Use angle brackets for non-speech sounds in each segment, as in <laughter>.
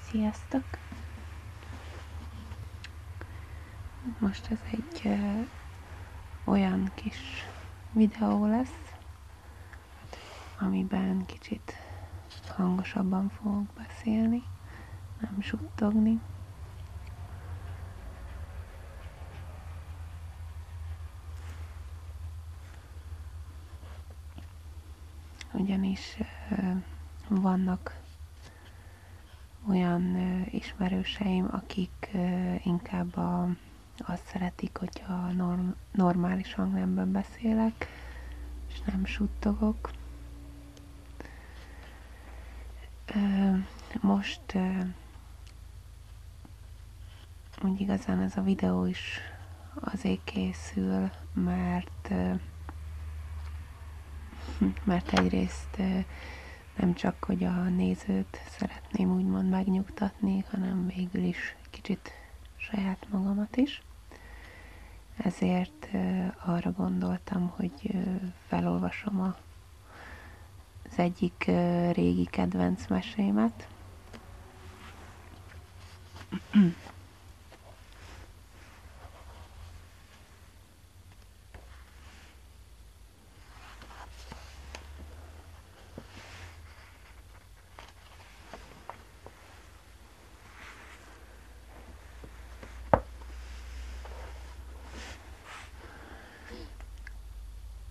Sziasztok! Most ez egy ö, olyan kis videó lesz, amiben kicsit hangosabban fogok beszélni, nem suttogni. Ugyanis vannak olyan ismerőseim, akik inkább a, azt szeretik, hogyha norm, normális hangnemben beszélek, és nem suttogok. Most úgy igazán ez a videó is azért készül, mert <laughs> mert egyrészt nem csak, hogy a nézőt szeretném úgymond megnyugtatni, hanem végül is kicsit saját magamat is. Ezért arra gondoltam, hogy felolvasom az egyik régi kedvenc mesémet,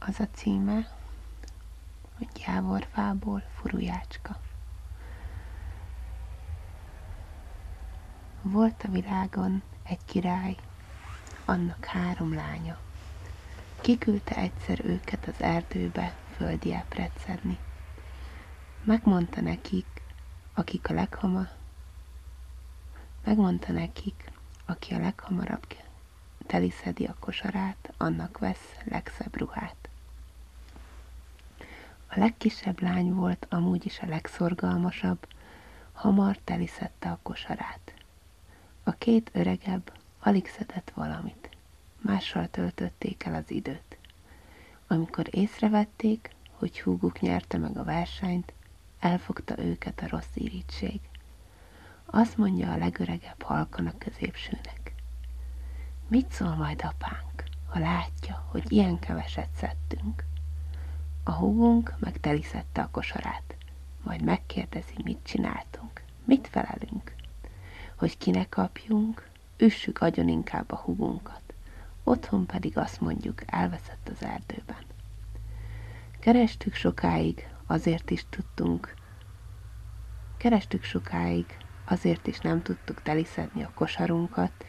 az a címe, hogy gyávorfából furujácska. Volt a világon egy király, annak három lánya. Kiküldte egyszer őket az erdőbe földiáp szedni. Megmondta nekik, akik a leghamar, megmondta nekik, aki a leghamarabb teliszedi a kosarát, annak vesz legszebb ruhát. A legkisebb lány volt amúgy is a legszorgalmasabb, hamar teliszedte a kosarát. A két öregebb alig szedett valamit. Mással töltötték el az időt. Amikor észrevették, hogy húguk nyerte meg a versenyt, elfogta őket a rossz irítség, azt mondja a legöregebb halkan a középsőnek. Mit szól majd apánk, ha látja, hogy ilyen keveset szedtünk? A húgunk megteliszette a kosarát, majd megkérdezi, mit csináltunk, mit felelünk, hogy kinek kapjunk, üssük agyon inkább a húgunkat, otthon pedig azt mondjuk, elveszett az erdőben. Kerestük sokáig, azért is tudtunk, Kerestük sokáig, azért is nem tudtuk teliszedni a kosarunkat,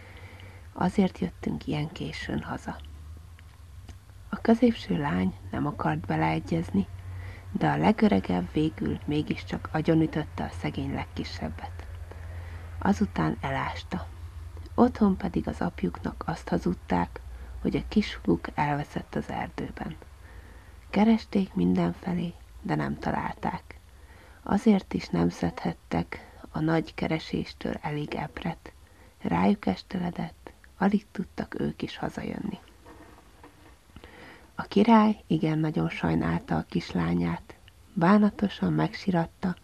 azért jöttünk ilyen későn haza. A középső lány nem akart beleegyezni, de a legöregebb végül mégiscsak agyonütötte a szegény legkisebbet. Azután elásta. Otthon pedig az apjuknak azt hazudták, hogy a kis húg elveszett az erdőben. Keresték mindenfelé, de nem találták. Azért is nem szedhettek a nagy kereséstől elég epret. Rájuk esteledett, alig tudtak ők is hazajönni. A király igen nagyon sajnálta a kislányát, bánatosan megsiratta,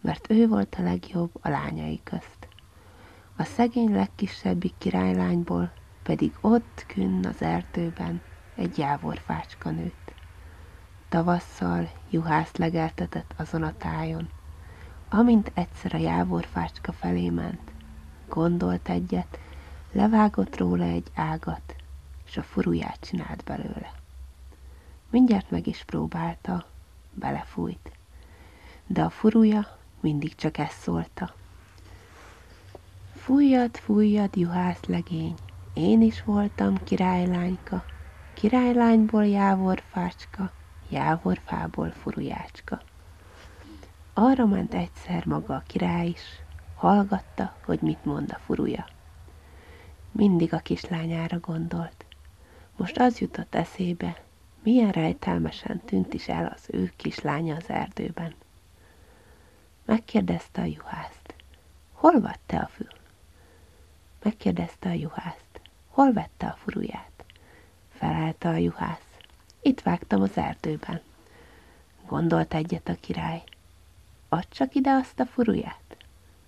mert ő volt a legjobb a lányai közt. A szegény legkisebbik királylányból pedig ott künn az erdőben egy jávorfácska nőtt. Tavasszal juhász legeltetett azon a tájon. Amint egyszer a jávorfácska felé ment, gondolt egyet, levágott róla egy ágat, és a furuját csinált belőle. Mindjárt meg is próbálta, belefújt, de a furuja mindig csak ezt szólta. Fújjad, fújjad, juhász legény, én is voltam királylányka, királylányból jávorfácska, jávorfából furujácska. Arra ment egyszer maga a király is, hallgatta, hogy mit mond a furuja. Mindig a kislányára gondolt. Most az jutott eszébe, milyen rejtelmesen tűnt is el az ő kislánya az erdőben. Megkérdezte a juhászt, hol vette a fül? Megkérdezte a juhászt, hol vette a furuját? Felelte a juhász, itt vágtam az erdőben. Gondolt egyet a király, add csak ide azt a furuját.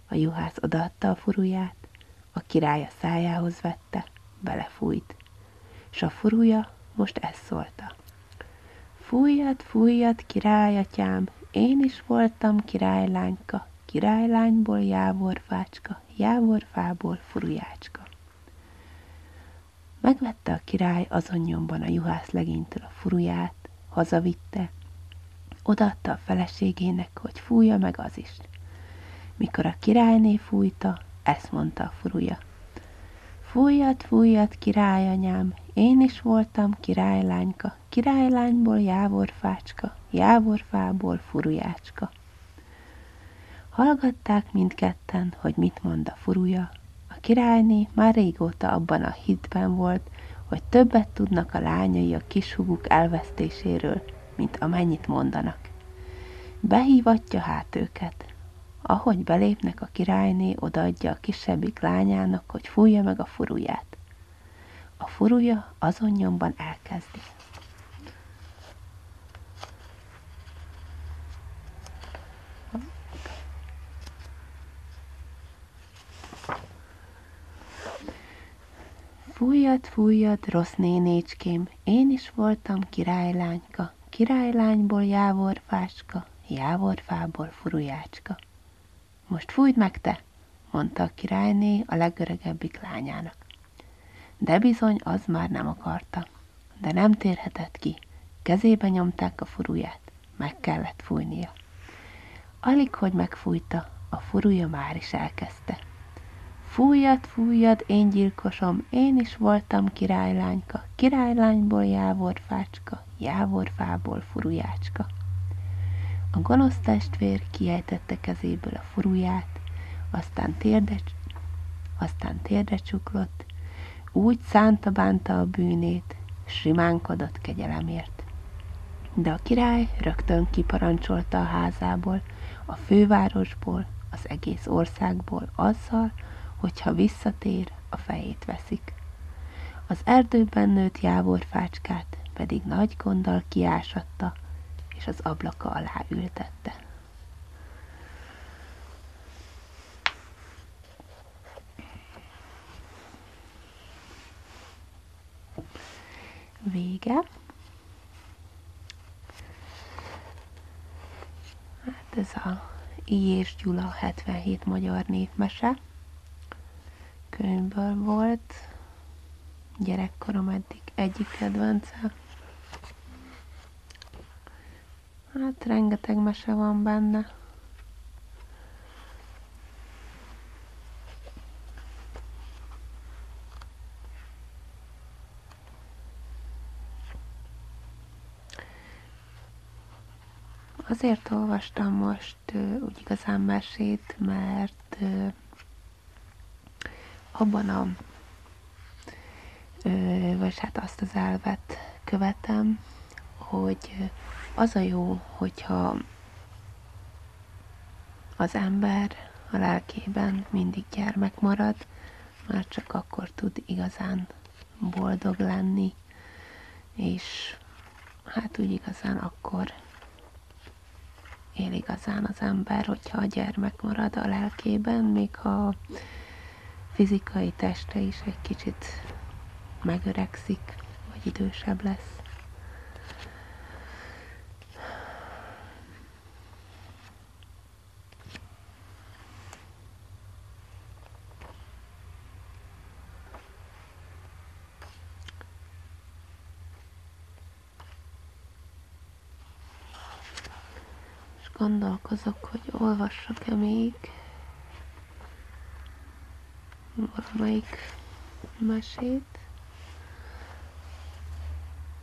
A juhász odaadta a furuját, a király a szájához vette, belefújt és a furúja most ezt szólta. Fújjad, fújjad, királyatyám, én is voltam királylányka, királylányból jávorfácska, jávorfából furujácska. Megvette a király azon nyomban a juhász legénytől a furuját, hazavitte, odaadta a feleségének, hogy fújja meg az is. Mikor a királyné fújta, ezt mondta a furuja. Fújjad, fújjad, királyanyám, én is voltam királylányka, királylányból jávorfácska, jávorfából furujácska. Hallgatták mindketten, hogy mit mond a furuja. A királyné már régóta abban a hitben volt, hogy többet tudnak a lányai a kishuguk elvesztéséről, mint amennyit mondanak. Behívatja hát őket, ahogy belépnek a királyné, odaadja a kisebbik lányának, hogy fújja meg a furuját. A furuja azon nyomban elkezdi. Fújjad, fújjad, rossz nénécském, én is voltam királylányka fáska, királylányból jávorfáska, jávorfából furujácska. Most fújd meg te, mondta a királyné a legöregebbik lányának. De bizony az már nem akarta, de nem térhetett ki. Kezébe nyomták a furuját, meg kellett fújnia. Alig, hogy megfújta, a furuja már is elkezdte. Fújjad, fújjad, én gyilkosom, én is voltam királylányka, királylányból jávorfácska, jávorfából furujácska. A gonosz testvér kiejtette kezéből a furuját, aztán térde, aztán térdre csuklott, úgy szánta bánta a bűnét, simánkodott kegyelemért. De a király rögtön kiparancsolta a házából, a fővárosból, az egész országból azzal, hogyha visszatér, a fejét veszik. Az erdőben nőtt fácskát, pedig nagy gonddal kiásatta, és az ablaka alá ültette. Vége. Hát ez a I. és Gyula 77 magyar népmese könyvből volt. Gyerekkorom eddig egyik kedvence. Hát rengeteg mese van benne. Azért olvastam most úgy igazán mesét, mert abban a, vagy hát azt az elvet követem, hogy az a jó, hogyha az ember a lelkében mindig gyermek marad, már csak akkor tud igazán boldog lenni, és hát úgy igazán akkor él igazán az ember, hogyha a gyermek marad a lelkében, még ha a fizikai teste is egy kicsit megöregszik, vagy idősebb lesz. És gondolkozok, hogy olvassak-e még valamelyik mesét.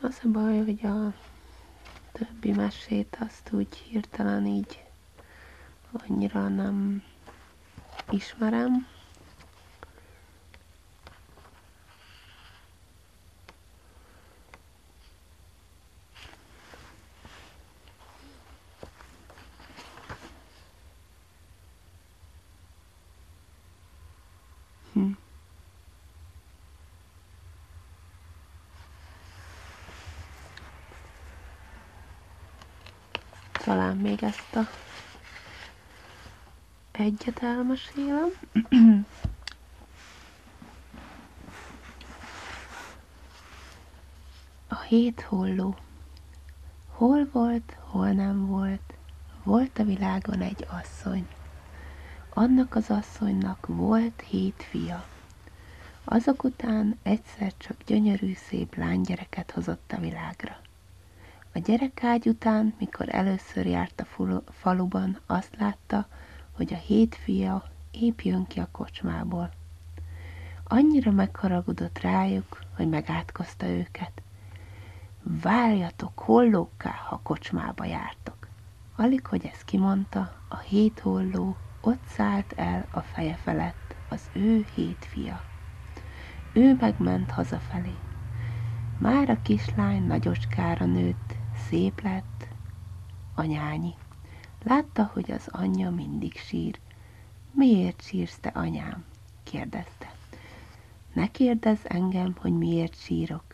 Az a baj, hogy a többi mesét azt úgy hirtelen így annyira nem ismerem. Hm. Talán még ezt a egyet elmesélem. A hét holló. Hol volt, hol nem volt, volt a világon egy asszony. Annak az asszonynak volt hét fia. Azok után egyszer csak gyönyörű, szép lánygyereket hozott a világra. A gyerekágy után, mikor először járt a faluban, azt látta, hogy a hét fia épp jön ki a kocsmából. Annyira megharagudott rá, rájuk, hogy megátkozta őket. Várjatok hollókká, ha kocsmába jártok. Alig, hogy ezt kimondta, a hét holló ott szállt el a feje felett az ő hét fia. Ő megment hazafelé. Már a kislány nagyocskára nőtt, szép lett, anyányi. Látta, hogy az anyja mindig sír, Miért sírsz te, anyám? kérdezte. Ne kérdezz engem, hogy miért sírok.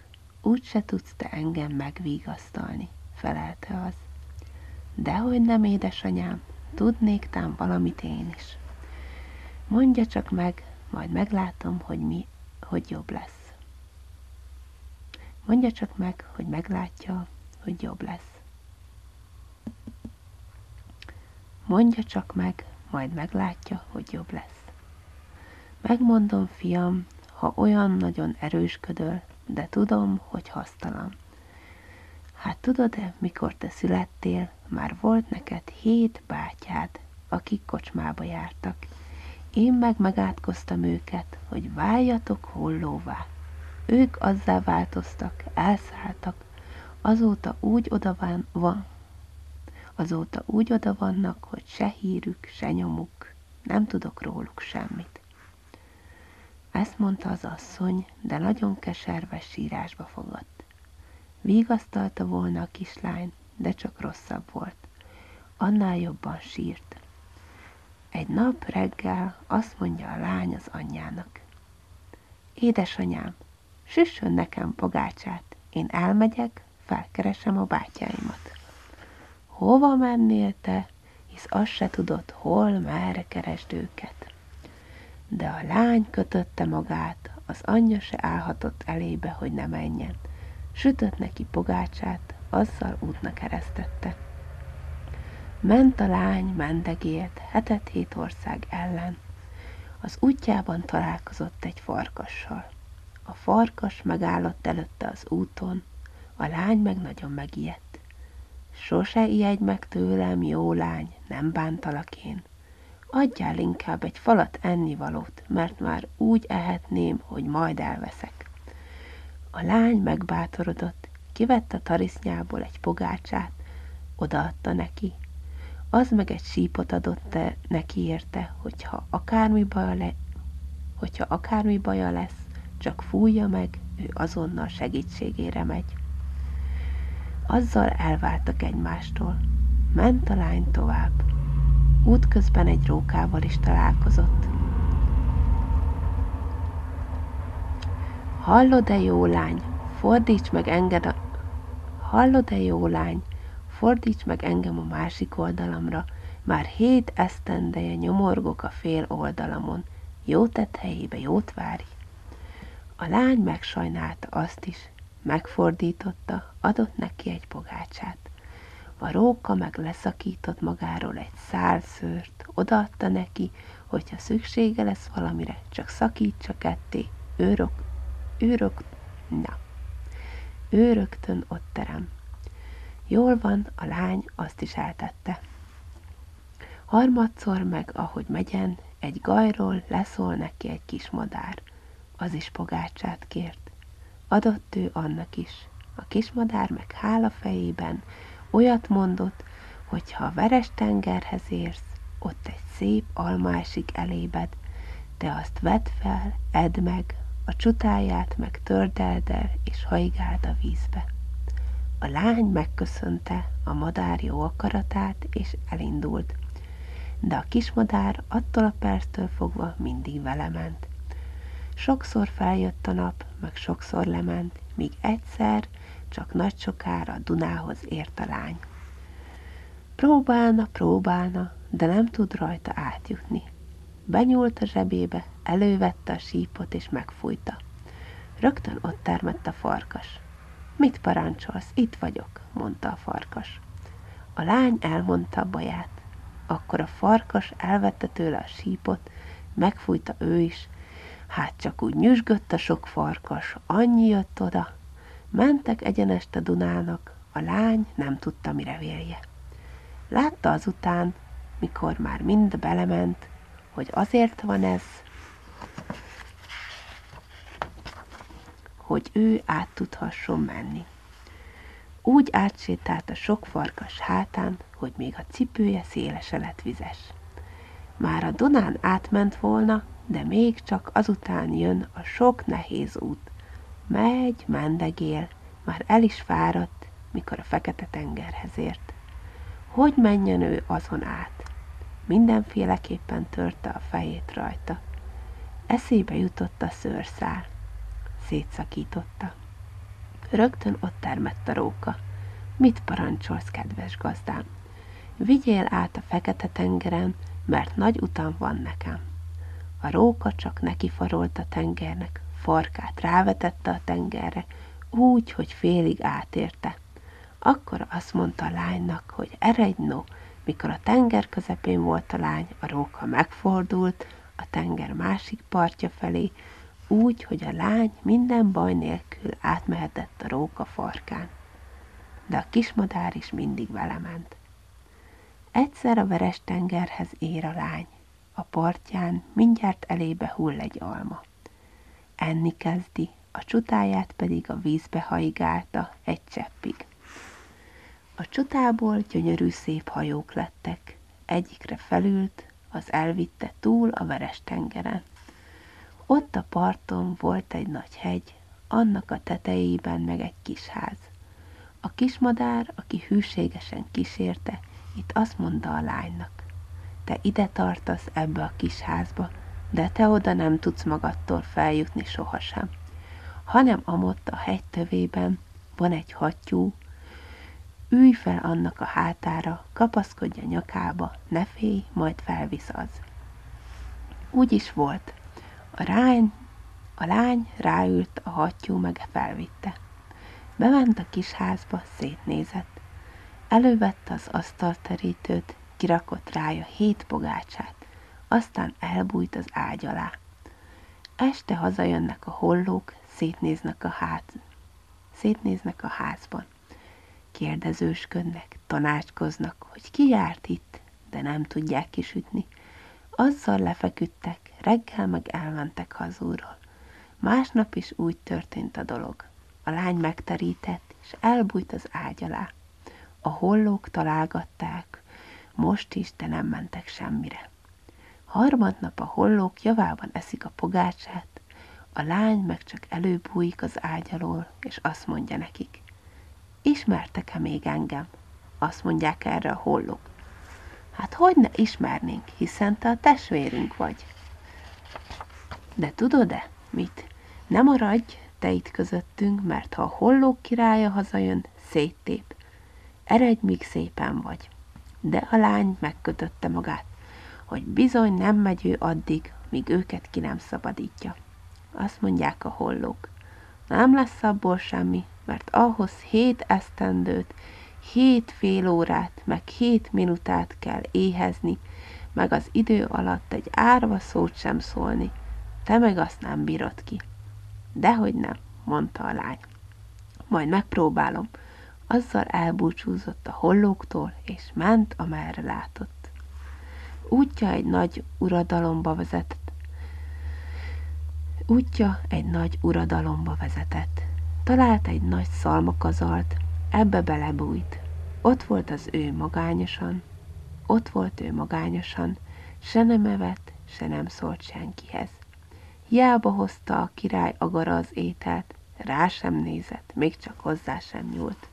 Úgy se tudsz te engem megvigasztalni, felelte az. Dehogy nem, édesanyám, tudnék tám valamit én is. Mondja csak meg, majd meglátom, hogy mi, hogy jobb lesz. Mondja csak meg, hogy meglátja, hogy jobb lesz. Mondja csak meg, majd meglátja, hogy jobb lesz. Megmondom, fiam, ha olyan nagyon erősködöl, de tudom, hogy hasztalan. Hát tudod-e, mikor te születtél, már volt neked hét bátyád, akik kocsmába jártak. Én meg megátkoztam őket, hogy váljatok állatok hollóvá. Ők azzá változtak, elszálltak, azóta úgy oda van, van, azóta úgy oda vannak, hogy se hírük, se nyomuk, nem tudok róluk semmit. Ezt mondta az asszony, de nagyon keserves sírásba fogadt. Vigasztalta volna a kislány, de csak rosszabb volt. Annál jobban sírt. Egy nap reggel azt mondja a lány az anyjának. Édesanyám, süssön nekem pogácsát, én elmegyek, felkeresem a bátyáimat. Hova mennél te, hisz azt se tudod, hol, merre keresd őket. De a lány kötötte magát, az anyja se állhatott elébe, hogy ne menjen. Sütött neki pogácsát, azzal útnak eresztette. Ment a lány mendegél, egyet hetet hét ország ellen. Az útjában találkozott egy farkassal. A farkas megállott előtte az úton, a lány meg nagyon megijedt. Sose ijedj meg tőlem, jó lány, nem bántalak én. Adjál inkább egy falat ennivalót, mert már úgy ehetném, hogy majd elveszek. A lány megbátorodott, Kivett a tarisznyából egy pogácsát, odaadta neki. Az meg egy sípot adott -e neki érte, hogyha akármi, baja le, hogyha akármi baja lesz, csak fújja meg, ő azonnal segítségére megy. Azzal elváltak egymástól. Ment a lány tovább. Útközben egy rókával is találkozott. Hallod-e, jó lány, fordíts meg enged a... Hallod-e, jó lány, fordíts meg engem a másik oldalamra, már hét esztendeje nyomorgok a fél oldalamon, jó tett helyébe jót várj. A lány megsajnálta azt is, megfordította, adott neki egy pogácsát. A róka meg leszakított magáról egy szál tükröt odaadta neki, hogyha szüksége lesz valamire, csak szakítsa ketté, őrök, őrök, na, ő rögtön ott terem. Jól van, a lány azt is eltette. Harmadszor meg, ahogy megyen, egy gajról leszól neki egy kis madár. Az is pogácsát kért. Adott ő annak is. A kismadár meg hála fejében Olyat mondott, hogy ha a veres tengerhez érsz, ott egy szép almásik esik elébed, te azt vedd fel, edd meg, a csutáját meg tördeld el, és hajgáld a vízbe. A lány megköszönte a madár jó akaratát, és elindult. De a kismadár attól a perctől fogva mindig vele ment. Sokszor feljött a nap, meg sokszor lement, míg egyszer csak nagy sokára a Dunához ért a lány. Próbálna, próbálna, de nem tud rajta átjutni. Benyúlt a zsebébe, elővette a sípot és megfújta. Rögtön ott termett a farkas. Mit parancsolsz, itt vagyok, mondta a farkas. A lány elmondta a baját. Akkor a farkas elvette tőle a sípot, megfújta ő is, Hát csak úgy nyüzsgött a sok farkas, annyi jött oda. Mentek egyenest a Dunának, a lány nem tudta, mire vérje. Látta azután, mikor már mind belement, hogy azért van ez, hogy ő át tudhasson menni. Úgy átsétált a sok farkas hátán, hogy még a cipője szélese lett vizes. Már a Donán átment volna, de még csak azután jön a sok nehéz út. Megy, mendegél, már el is fáradt, mikor a fekete tengerhez ért. Hogy menjen ő azon át? Mindenféleképpen törte a fejét rajta. Eszébe jutott a szőrszál. Szétszakította. Rögtön ott termett a róka. Mit parancsolsz, kedves gazdám? Vigyél át a fekete tengeren, mert nagy utam van nekem. A róka csak neki nekifarolt a tengernek, farkát rávetette a tengerre, úgy, hogy félig átérte. Akkor azt mondta a lánynak, hogy eredj no, mikor a tenger közepén volt a lány, a róka megfordult, a tenger másik másik partja felé, úgy, hogy a lány minden baj nélkül átmehetett a róka farkán. De a kismadár is mindig vele ment. Egyszer a veres tengerhez ér a lány. A partján mindjárt elébe hull egy alma. Enni kezdi, a csutáját pedig a vízbe haigálta egy cseppig. A csutából gyönyörű szép hajók lettek. Egyikre felült, az elvitte túl a veres tengeren. Ott a parton volt egy nagy hegy, annak a tetejében meg egy kis ház. A kismadár, aki hűségesen kísérte, itt azt mondta a lánynak, te ide tartasz ebbe a kis házba, de te oda nem tudsz magadtól feljutni sohasem, hanem amott a hegy tövében van egy hattyú, ülj fel annak a hátára, kapaszkodj a nyakába, ne félj, majd felvisz az. Úgy is volt. A, rány, a lány ráült, a hattyú meg e felvitte. Bement a kis házba, szétnézett. Elővette az asztalterítőt, kirakott rája hét pogácsát, aztán elbújt az ágy alá. Este hazajönnek a hollók, szétnéznek a ház, Szétnéznek a házban. Kérdezősködnek, tanácskoznak, hogy ki járt itt, de nem tudják kisütni. Azzal lefeküdtek, reggel meg elmentek hazúról. Másnap is úgy történt a dolog. A lány megterített, és elbújt az ágy alá. A hollók találgatták, most is, de nem mentek semmire. Harmadnap a hollók javában eszik a pogácsát, a lány meg csak előbújik az ágy alól, és azt mondja nekik, ismertek-e még engem? Azt mondják erre a hollók. Hát hogy ne ismernénk, hiszen te a testvérünk vagy. De tudod-e, mit? Nem maradj te itt közöttünk, mert ha a hollók királya hazajön, széttép. Eredj, míg szépen vagy. De a lány megkötötte magát, hogy bizony nem megy ő addig, míg őket ki nem szabadítja. Azt mondják a hollók. Nem lesz abból semmi, mert ahhoz hét esztendőt, hét fél órát, meg hét minutát kell éhezni, meg az idő alatt egy árva szót sem szólni, te meg azt nem bírod ki. Dehogy nem, mondta a lány. Majd megpróbálom. Azzal elbúcsúzott a hollóktól, és ment, amerre látott. Útja egy nagy uradalomba vezetett. Útja egy nagy uradalomba vezetett. Talált egy nagy szalmakazalt, ebbe belebújt. Ott volt az ő magányosan, ott volt ő magányosan, se nem evett, se nem szólt senkihez. Hiába hozta a király agara az ételt, rá sem nézett, még csak hozzá sem nyúlt.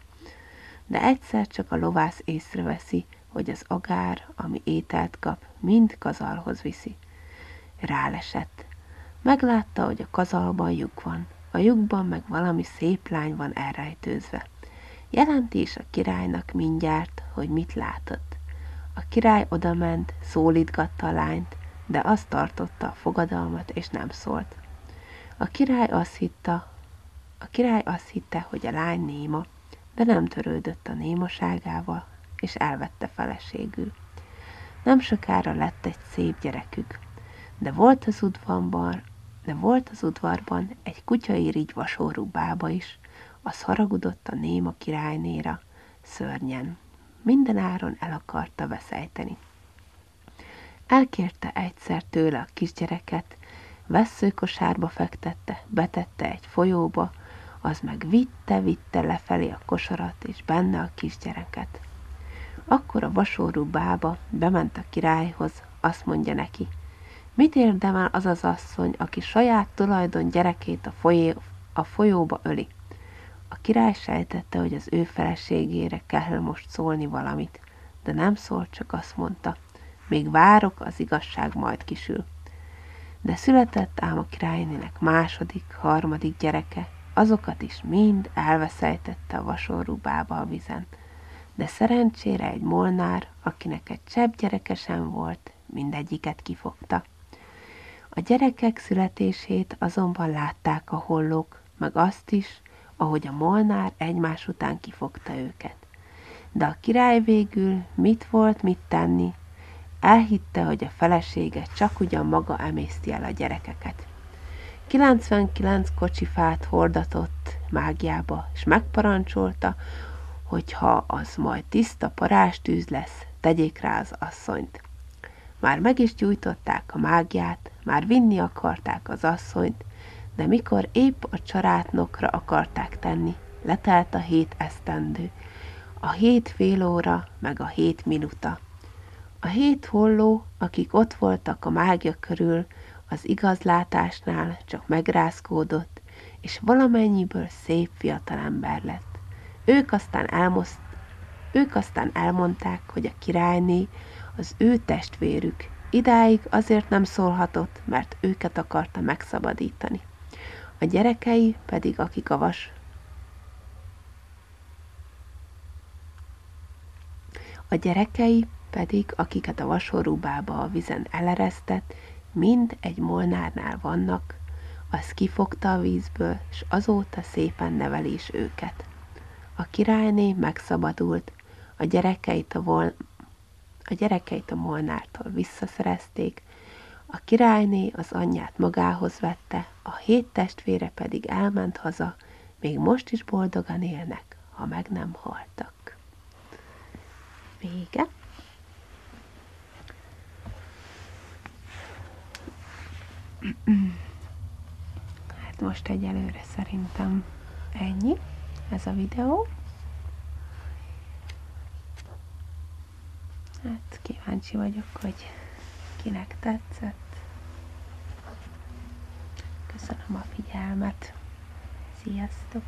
De egyszer csak a lovász észreveszi, hogy az agár, ami ételt kap, mind kazalhoz viszi. Rálesett. Meglátta, hogy a kazalban lyuk van, a lyukban meg valami szép lány van elrejtőzve. Jelenti is a királynak mindjárt, hogy mit látott. A király odament, szólítgatta a lányt, de azt tartotta a fogadalmat, és nem szólt. A király azt hitta, a király azt hitte, hogy a lány néma, de nem törődött a némaságával, és elvette feleségül. Nem sokára lett egy szép gyerekük, de volt az udvarban, de volt az udvarban egy kutyairigy vasórú bába is, az haragudott a néma királynéra, szörnyen. Minden áron el akarta veszejteni. Elkérte egyszer tőle a kisgyereket, vesszőkosárba fektette, betette egy folyóba, az meg vitte-vitte lefelé a kosarat, és benne a kisgyereket. Akkor a vasórú bába bement a királyhoz, azt mondja neki, mit érdemel az az asszony, aki saját tulajdon gyerekét a, folyé, a folyóba öli beszélni. A király sejtette, hogy az ő feleségére kell most szólni valamit, de nem szólt, csak azt mondta, még várok, az igazság majd kisül. De született ám a királynének második, harmadik gyereke, azokat is mind elveszejtette a bába a vizen. De szerencsére egy molnár, akinek egy csepp gyereke sem volt, mindegyiket kifogta. A gyerekek születését azonban látták a hollók, meg azt is, ahogy a molnár egymás után kifogta őket. De a király végül mit volt mit tenni, elhitte, hogy a felesége csak ugyan maga emészti el a gyerekeket. 99 kocsifát hordatott mágiába, és megparancsolta, hogy ha az majd tiszta parástűz lesz, tegyék verték rá az asszonyt. Már meg is gyújtották a mágiát, már vinni akarták az asszonyt, de mikor épp a csarátnokra akarták tenni, letelt a hét esztendő, a hét fél óra, meg a hét minuta. A hét holló, akik ott voltak a mágia körül, az igazlátásnál csak megrázkódott, és valamennyiből szép szép ember lett. Ők aztán, elmoszt, ők aztán elmondták, hogy a királyné az ő testvérük. Idáig azért nem szólhatott, mert őket akarta megszabadítani. A gyerekei pedig, akik a vas A gyerekei pedig, akiket a vasorúbába a vizen eleresztett, mind egy molnárnál vannak, az kifogta a vízből, és azóta szépen neveli őket. A királyné megszabadult, a gyerekeit a, vol- a gyerekeit a molnártól visszaszerezték, a királyné az anyját magához vette, a hét testvére pedig elment haza, még most is boldogan élnek, ha meg nem haltak. Vége. Hát most egyelőre szerintem ennyi ez a videó. Hát kíváncsi vagyok, hogy kinek tetszett. Köszönöm a figyelmet. Sziasztok!